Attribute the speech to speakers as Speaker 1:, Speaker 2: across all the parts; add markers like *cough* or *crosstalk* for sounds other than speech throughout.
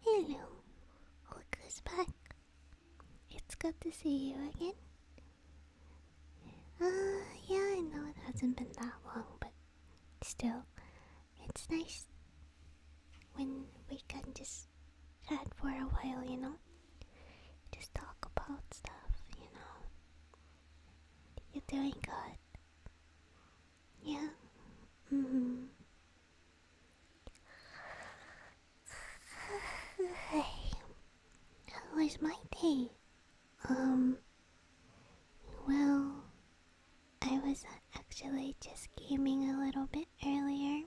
Speaker 1: Hello, look back. It's good to see you again. Uh, yeah, I know it hasn't been that long, but still, it's nice when we can just chat for a while, you know? Just talk about stuff, you know? You're doing good. Yeah. Mm -hmm. Hey, *sighs* was my day? Um, well, I was actually just gaming a little bit earlier.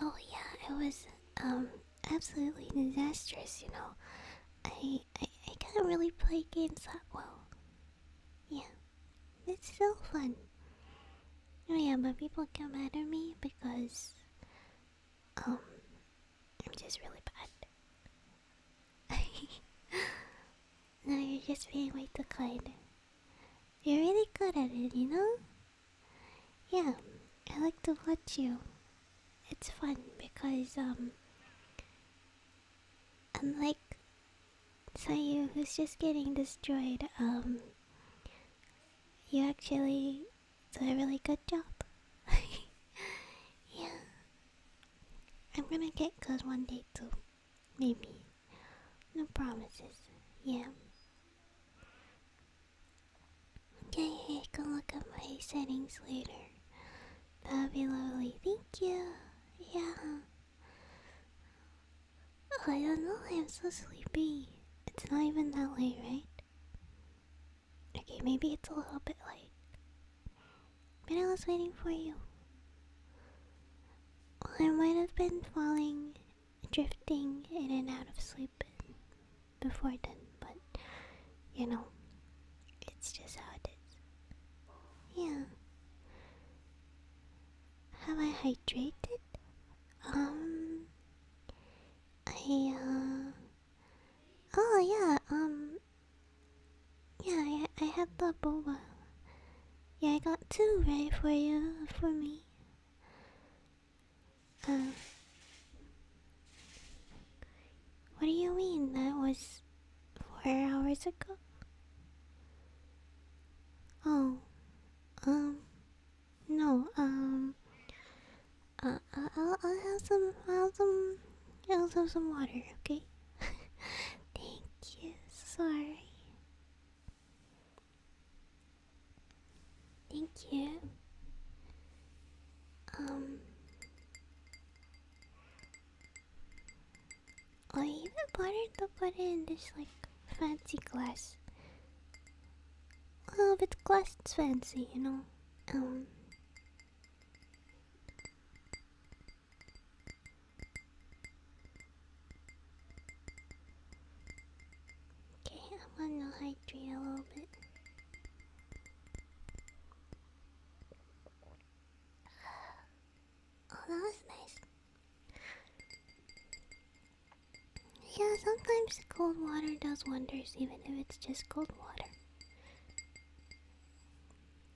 Speaker 1: Oh yeah, I was, um, absolutely disastrous, you know. I, I, I can't really play games that well. Yeah, it's still fun. Oh yeah, but people get mad at me because, um, I'm just really bad. *laughs* no, you're just being way too kind. You're really good at it, you know? Yeah, I like to watch you it's fun because um unlike Sayu who's just getting destroyed, um, you actually did a really good job. *laughs* yeah. I'm gonna get good one day too. Maybe. No promises. Yeah. Okay, I can look at my settings later. That'd be lovely. Thank you. Yeah. Oh, I don't know. I'm so sleepy. It's not even that late, right? Okay, maybe it's a little bit late. But I was waiting for you. I might have been falling, drifting in and out of sleep before then, but you know, it's just how it is. Yeah. Have I hydrated? Um, I, uh, oh yeah, um, yeah, I, I had the boba. Yeah, I got two, right, for you, for me. Uh, what do you mean? That was four hours ago? Oh, um, no, um, uh, uh I'll, I'll have some, I'll some, I'll have some water, okay? *laughs* Thank you, sorry. Thank you. Um. I even bothered to put it in this like fancy glass. Oh, well, if it's glass, it's fancy, you know. Um, okay, I'm gonna hydrate a little bit. Oh, that was nice. Yeah, sometimes cold water does wonders, even if it's just cold water.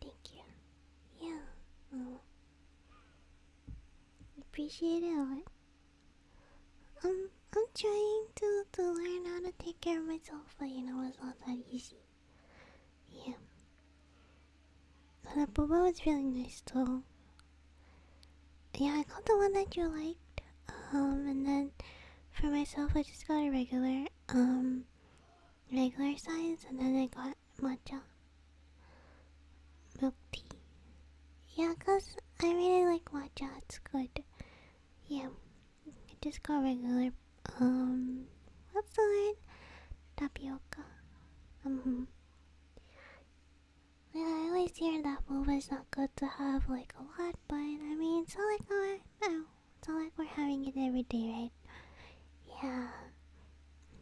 Speaker 1: Thank you. Yeah. Oh. Appreciate it. Um, I'm trying to, to learn how to take care of myself, but you know it's not that easy. Yeah. But the bubble was really nice though. Yeah, I got the one that you liked. Um, and then for myself, I just got a regular, um, regular size, and then I got matcha milk tea. Yeah, cause I really like matcha. It's good. Yeah. I just got regular, um, what's the word? Tapioca. Mm -hmm. Yeah, I always hear that is not good to have like a lot, but I mean, it's all like we no, it's all like we're having it every day, right? Yeah.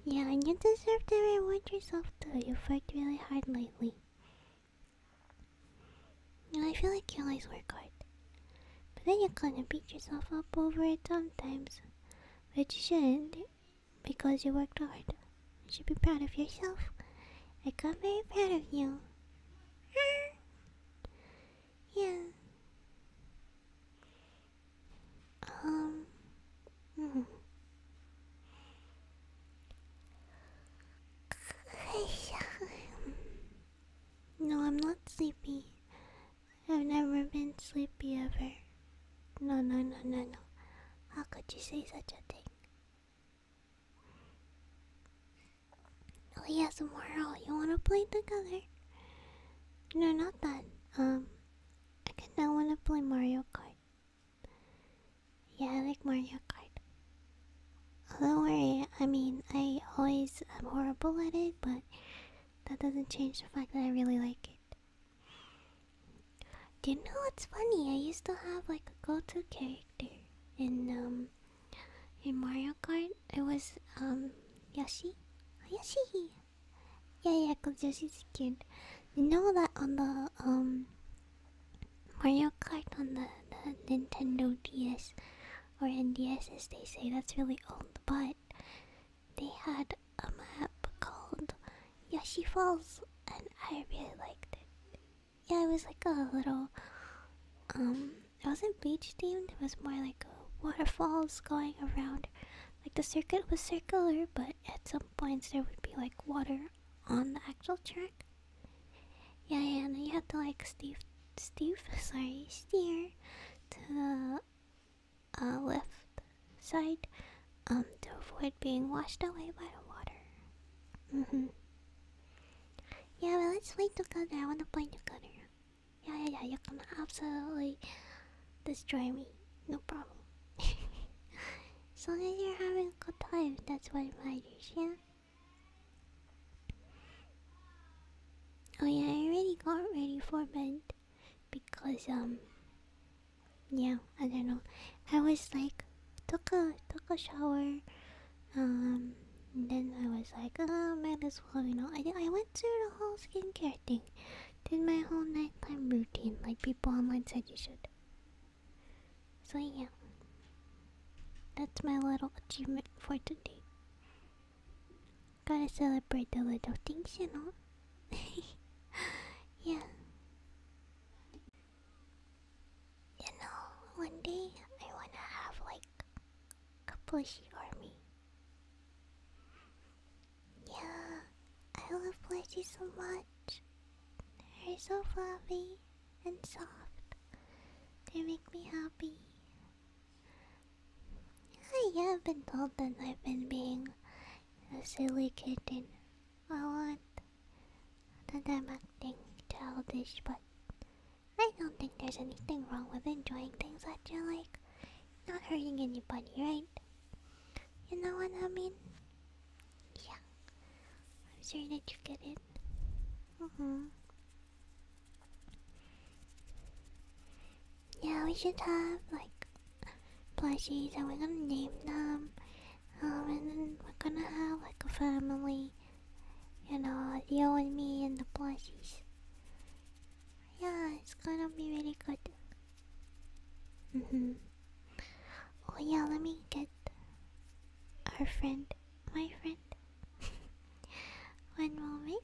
Speaker 1: Yeah, and you deserve to reward yourself too. You've worked really hard lately. And I feel like you always work hard. But then you kinda beat yourself up over it sometimes. But you shouldn't because you worked hard. You should be proud of yourself. I got very proud of you. *laughs* yeah. Um mm. *laughs* No, I'm not sleepy. I've never been sleepy ever. No, no, no, no, no. How could you say such a thing? Oh yeah, Mario. you wanna play together? No, not that. Um, I kinda wanna play Mario Kart. Yeah, I like Mario Kart. Don't worry, I mean, I always am horrible at it, but that doesn't change the fact that I really like it. Do you know what's funny? I used to have like a go-to character in um in Mario Kart. It was um Yoshi. Oh, Yoshi. Yeah, yeah, cause Yoshi's cute. You know that on the um Mario Kart on the Nintendo DS, or NDS as they say, that's really old, but they had a map called Yoshi Falls and I really liked it. Yeah, it was like a little um it wasn't beach themed, it was more like waterfalls going around. Like the circuit was circular, but at some points there would be like water on the actual track. Yeah, yeah, you have to like Steve, Steve, sorry, steer to the uh, left side um, to avoid being washed away by the water. Mm hmm Yeah, but let's play together. I wanna play together. Yeah, yeah, yeah. You are gonna absolutely destroy me. No problem. *laughs* as long as you're having a good time, that's what matters. Yeah. Oh yeah, I already got ready for bed because um yeah, I don't know. I was like took a took a shower, um then I was like, oh might as well, you know. I I went through the whole skincare thing. Did my whole nighttime routine like people online said you should. So yeah. That's my little achievement for today. Gotta celebrate the little things, you know? *laughs* yeah. You know, one day I wanna have like a plushie army. Yeah, I love plushies so much. They're so fluffy and soft. They make me happy. I have been told that I've been being a silly kitten a lot. That I'm acting childish, but I don't think there's anything wrong with enjoying things that you like. Not hurting anybody, right? You know what I mean? Yeah. I'm sure that you get it. Mm-hmm. Yeah, we should have like plushies and we're gonna name them. Um, and then we're gonna have like a family. You know, you and me and the plushies. Yeah, it's gonna be really good. Mm hmm Oh yeah, let me get our friend, my friend. *laughs* One moment.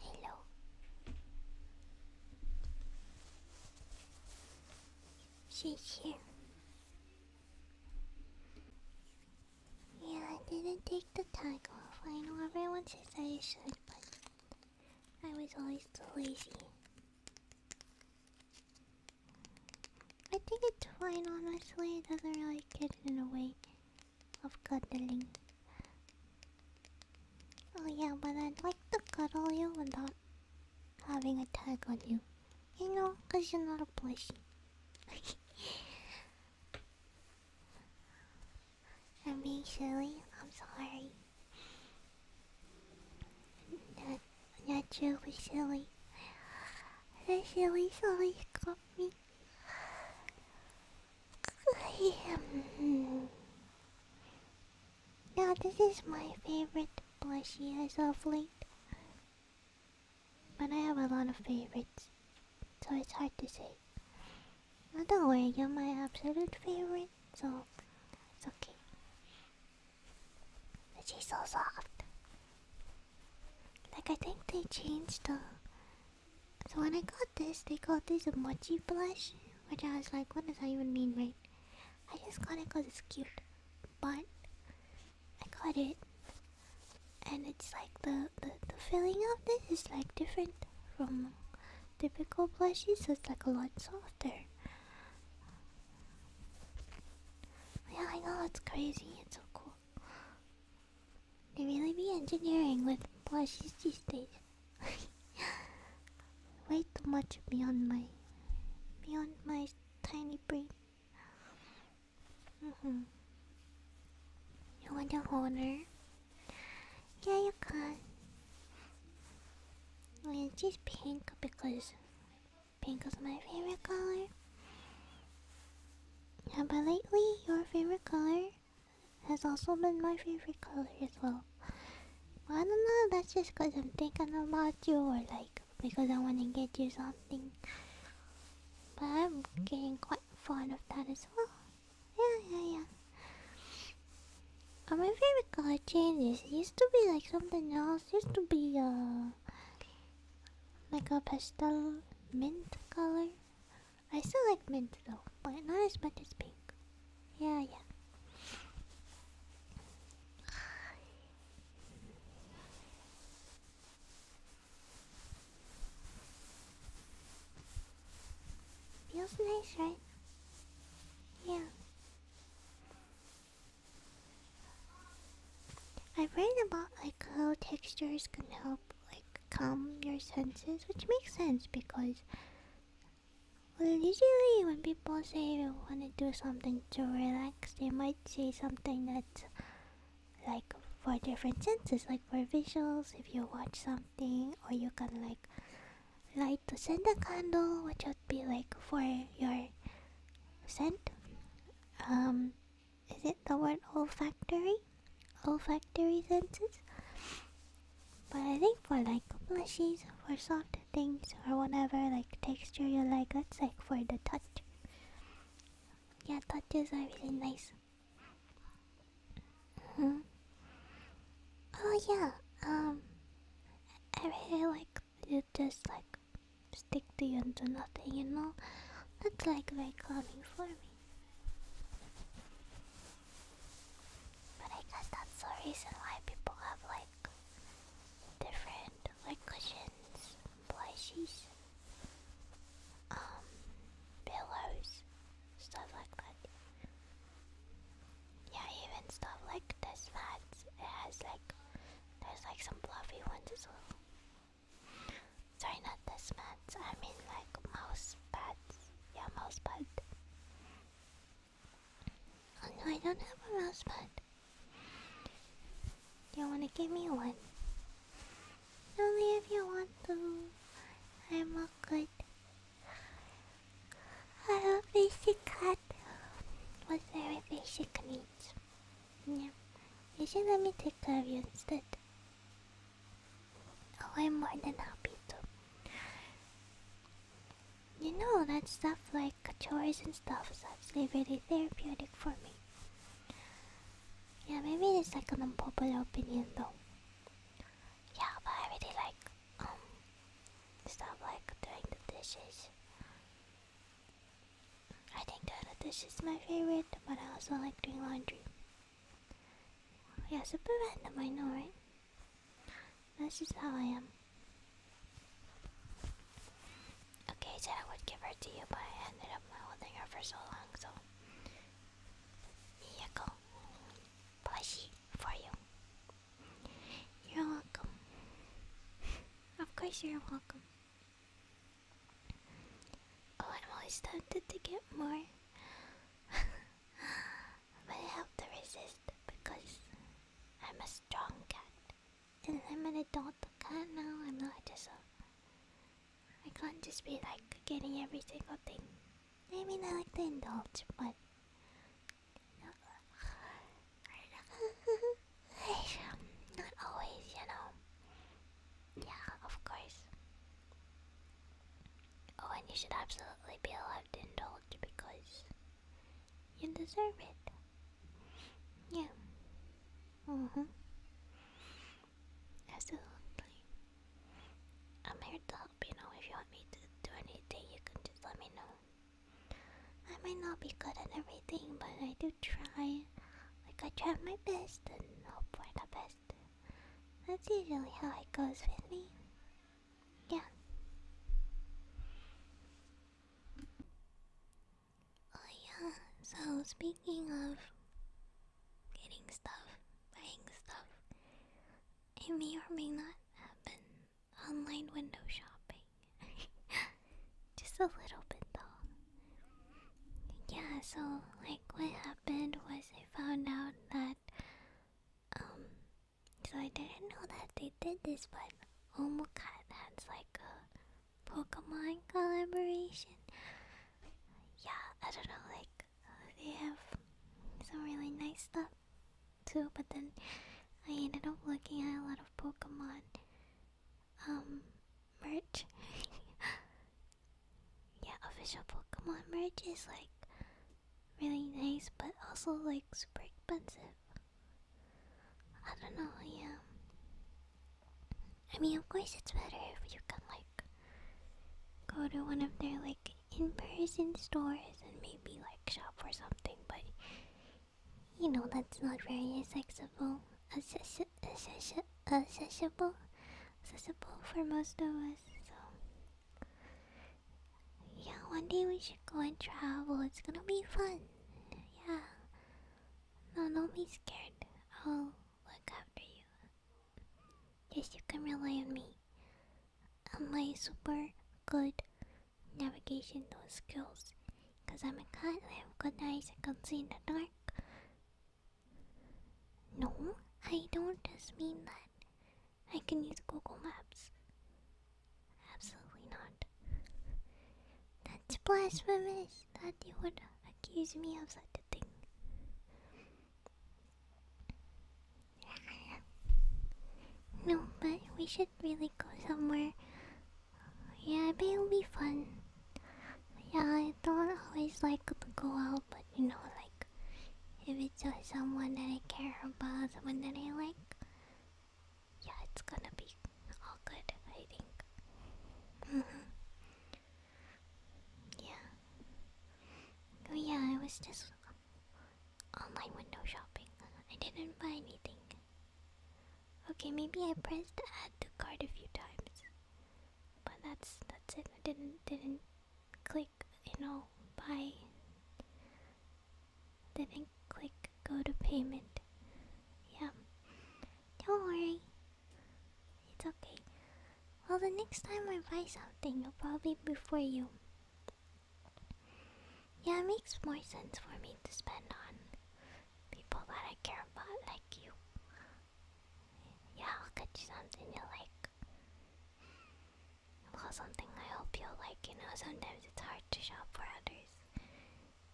Speaker 1: Hello. She's here. Yeah, I didn't take the tag off. I know everyone says I should, but I was always too lazy. I think it's fine, honestly. It doesn't really get in the way of cuddling. Oh yeah, but I'd like to cuddle you without having a tag on you. You know, cause you're not a plushie. *laughs* I'm being silly. I'm sorry. Not, not really silly. The silly, silly got me. now this is my favorite plushie as of late, but I have a lot of favorites so it's hard to say. Oh, don't worry, you're my absolute favorite, so it's okay. But she's so soft. Like I think they changed the. So when I got this, they called this a mochi blush, which I was like, what does that even mean, right? I just got it because it's cute, but I got it and it's like the, the the feeling of this is like different from typical plushies so it's like a lot softer yeah i know it's crazy it's so cool they really be engineering with plushies these days *laughs* way too much beyond my beyond my tiny brain Mm hmm. You want to hold her? Yeah, you can. I just pink because pink is my favorite color. Yeah, but lately your favorite color has also been my favorite color as well. I don't know, that's just because I'm thinking about you or like because I want to get you something. But I'm getting quite fond of that as well. Yeah, yeah, yeah. Uh, my favorite color changes. It used to be like something else. used to be uh, like a pastel mint color. I still like mint though, but not as much as pink. Yeah, yeah. Feels nice, right? Yeah. I've read about like how textures can help like calm your senses, which makes sense because well, usually when people say they want to do something to relax, they might say something that's like for different senses like for visuals if you watch something or you can like light to send a candle which would be like for your scent um is it the word olfactory olfactory senses but i think for like plushies for soft things or whatever like texture you like that's like for the touch yeah touches are really nice hmm. Oh yeah. Um. I really like you just like stick to you and do nothing. You know, that's like very calming for me. But I guess that's the reason why people have like different like cushions, um, pillows, stuff like that. Yeah, even stuff like this that it has like there's like some fluffy ones as well. Sorry, not this mats. I mean like mouse pads. Yeah, mouse pad. Oh no, I don't have a mouse pad. Do you want to give me one? Only if you want to. I'm all good. I have basic cat was very basic needs. Yeah. You should let me take care of you instead. Oh, I'm more than happy to. You know that stuff like chores and stuff is actually really therapeutic for me. Yeah, maybe it's like an unpopular opinion though. Yeah, but I really like um stuff like doing the dishes. I think doing the dishes is my favorite, but I also like doing laundry. Yeah, super random, I know, right? This is how I am. Okay, so I would give her to you, but I ended up holding her for so long, so here you go. Plushie for you. You're welcome. of course you're welcome. Oh, I'm always tempted to get more. *laughs* but I have to resist because I'm a strong cat. And I'm an adult cat now, I'm not just a I can't just be like getting every single thing. Maybe mean, I like to indulge, but. *laughs* Not always, you know. Yeah, of course. Oh, and you should absolutely be allowed to indulge because you deserve it. Yeah. Mm hmm. Absolutely. I'm here to help, you know, if you want me to do anything, you can just let me know. I might not be good at everything, but I do try. Like, I try my best and hope for the best. That's usually how it goes with me. Yeah. Oh, yeah, so speaking of getting stuff, buying stuff. It may or may not have been online window shopping. *laughs* Just a little bit though. Yeah, so like what happened was I found out that um so I didn't know that they did this but Omokat has like a Pokemon collaboration. Yeah, I don't know, like they have some really nice stuff too, but then I ended up looking at a lot of Pokemon um merch. *laughs* yeah, official Pokemon merch is like really nice but also like super expensive. I don't know, yeah. I mean, of course, it's better if you can like go to one of their like in-person stores and maybe like shop for something, but you know that's not very accessible, accessible, accessible for most of us. So yeah, one day we should go and travel. It's gonna be fun. Yeah. No, don't be scared. I'll look after you. Yes, you can rely on me and my super good navigation skills. Because I'm a cat, I have good eyes, I can see in the dark. No, I don't just mean that. I can use Google Maps. Absolutely not. That's blasphemous that you would accuse me of such a thing. No, but we should really go somewhere. Yeah, I it'll be fun. Yeah, I don't always like to go out, but you know, like, if it's someone that I care about, someone that I like, yeah, it's gonna be all good, I think. Mm-hmm. Yeah. Oh yeah, I was just online window shopping. I didn't buy anything. Okay, maybe I pressed add to cart a few times. But that's that's it. I didn't didn't click, you know, buy didn't click go to payment. Yeah. Don't worry. It's okay. Well, the next time I buy something, it'll probably be for you. Yeah, it makes more sense for me to spend on people that I care about, like you. Yeah, I'll get you something you like. Well, something I hope you'll like. You know, sometimes it's hard to shop for others.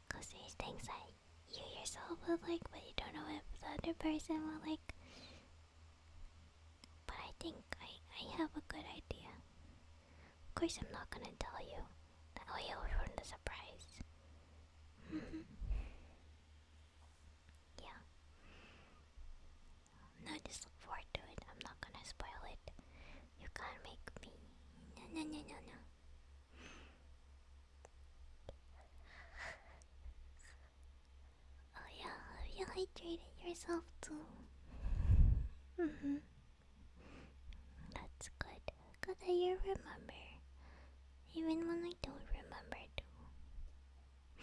Speaker 1: Because these things that you yourself would like, but you don't know if the other person will like. But I think I, I have a good idea. Of course, I'm not gonna tell you. That way, you'll *laughs* ruin the surprise. *laughs* yeah. No, just look forward to it. I'm not gonna spoil it. You can't make me. No, no, no, no, no. Oh yeah, have you hydrated yourself too? Mm-hmm. That's good. Good that you remember. Even when I don't remember too. *laughs*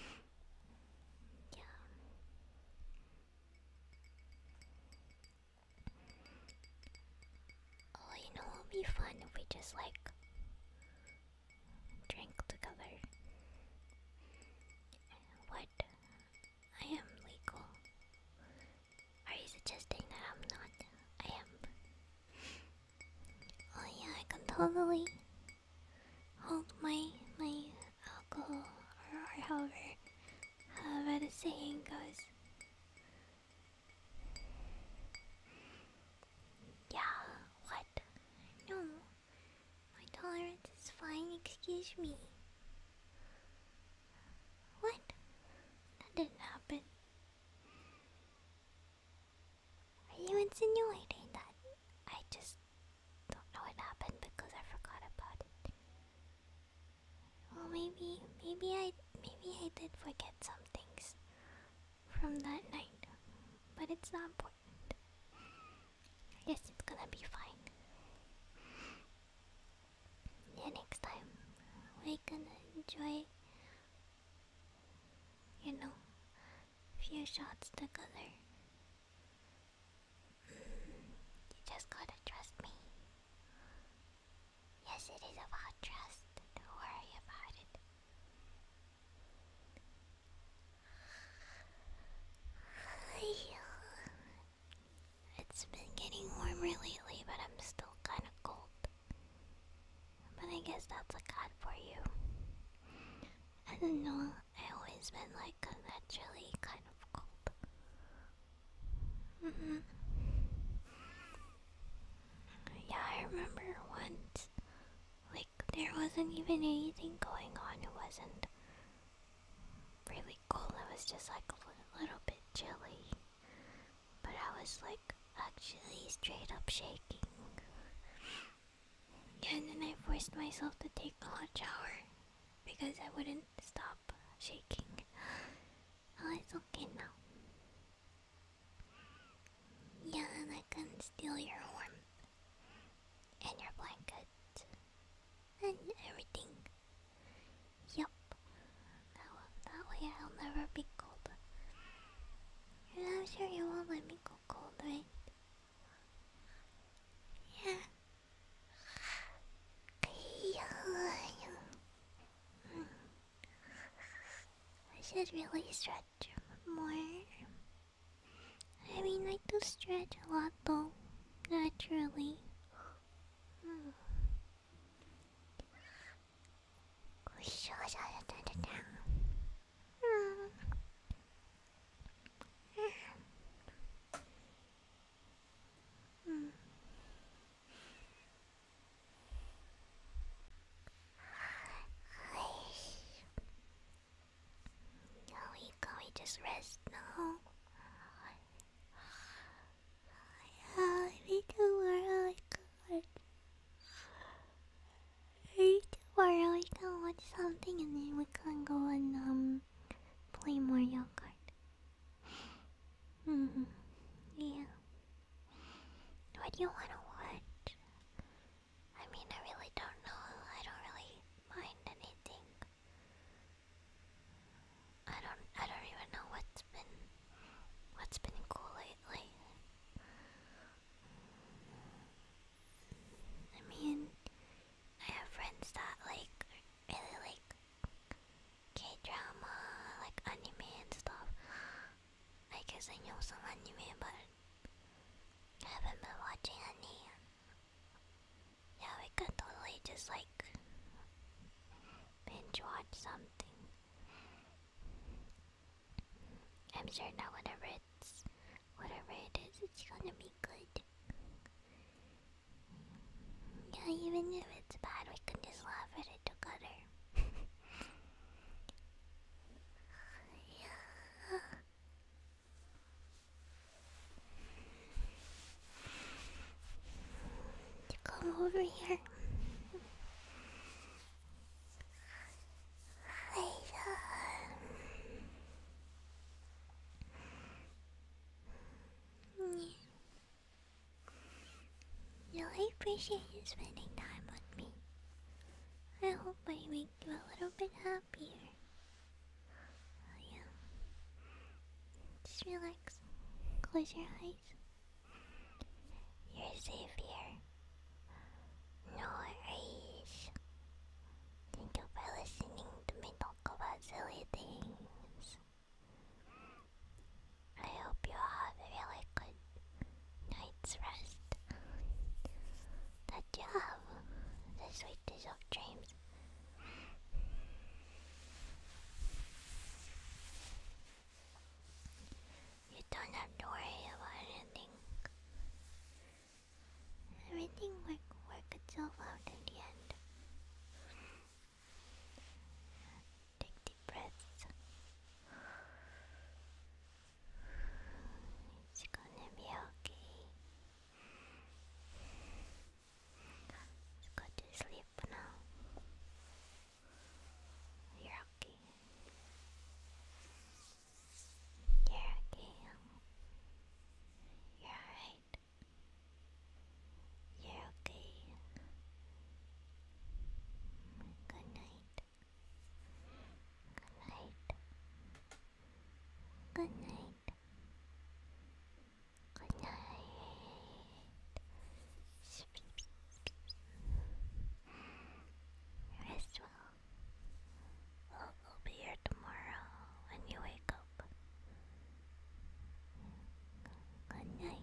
Speaker 1: yeah. Oh, you know it would be fun if we just like drank together. What? I am legal. Are you suggesting that I'm not? I am. Oh yeah, I can totally hold my my alcohol or, or however however the saying goes. Yeah, what? No. My tolerance is fine, excuse me. What? That didn't happen. Are you insinuating that I just don't know what happened because I forgot about it? Well, maybe, maybe I, maybe I did forget some things from that night, but it's not important. I guess it's gonna be fine. Yeah, next time we're gonna enjoy, you know, few shots together. You just gotta trust me. Yes, it is about trust. Don't worry about it. It's been getting warmer lately, but I'm still kind of cold. But I guess that's a god for you. I don't know, I always been like naturally kind of cold. Mm-hmm. Yeah, I remember once we there wasn't even anything going on. It wasn't really cold. It was just like a little bit chilly. But I was like actually straight up shaking. And then I forced myself to take a hot shower because I wouldn't stop shaking. Oh, it's okay now. Yeah, and I can steal your warmth and your blanket and everything. Yup. That, that way I'll never be cold. You're not sure you won't let me go cold, right? Yeah. I should really stretch more. I mean, I do stretch a lot though, naturally. Can we, can we just rest now? I need to worry, I can we can watch something and then we can go and um, play Mario Kart. hmm, yeah. What do you wanna watch? I mean, I really don't know. I don't really mind anything. I don't. I don't even know what's been what's been cool lately. I mean, I have friends that like really like K drama, like anime and stuff. I guess I know some anime, but I haven't been watching any. Yeah, we could totally just like binge watch something. I'm sure now whatever it's whatever it is, it's gonna be good. Yeah, even if it's bad, we can just laugh at it together. *laughs* come over here. I, uh, really appreciate you spending time with me. I hope my make you a little bit happier. Oh, yeah. Just relax. Close your eyes. You're safe here. No worries. Thank you listening to me talk about silly things. I hope you have a really good Night's rest. the job. The sweetest of dreams. You don't have to worry about anything. Everything work work itself out in the end. Take deep breaths. It's gonna be okay. Let's to sleep now. You're okay. You're okay. You're alright. You're okay. Good night. Good night. Good night. Good night. Rest well. we will be here tomorrow when you wake up. Good night.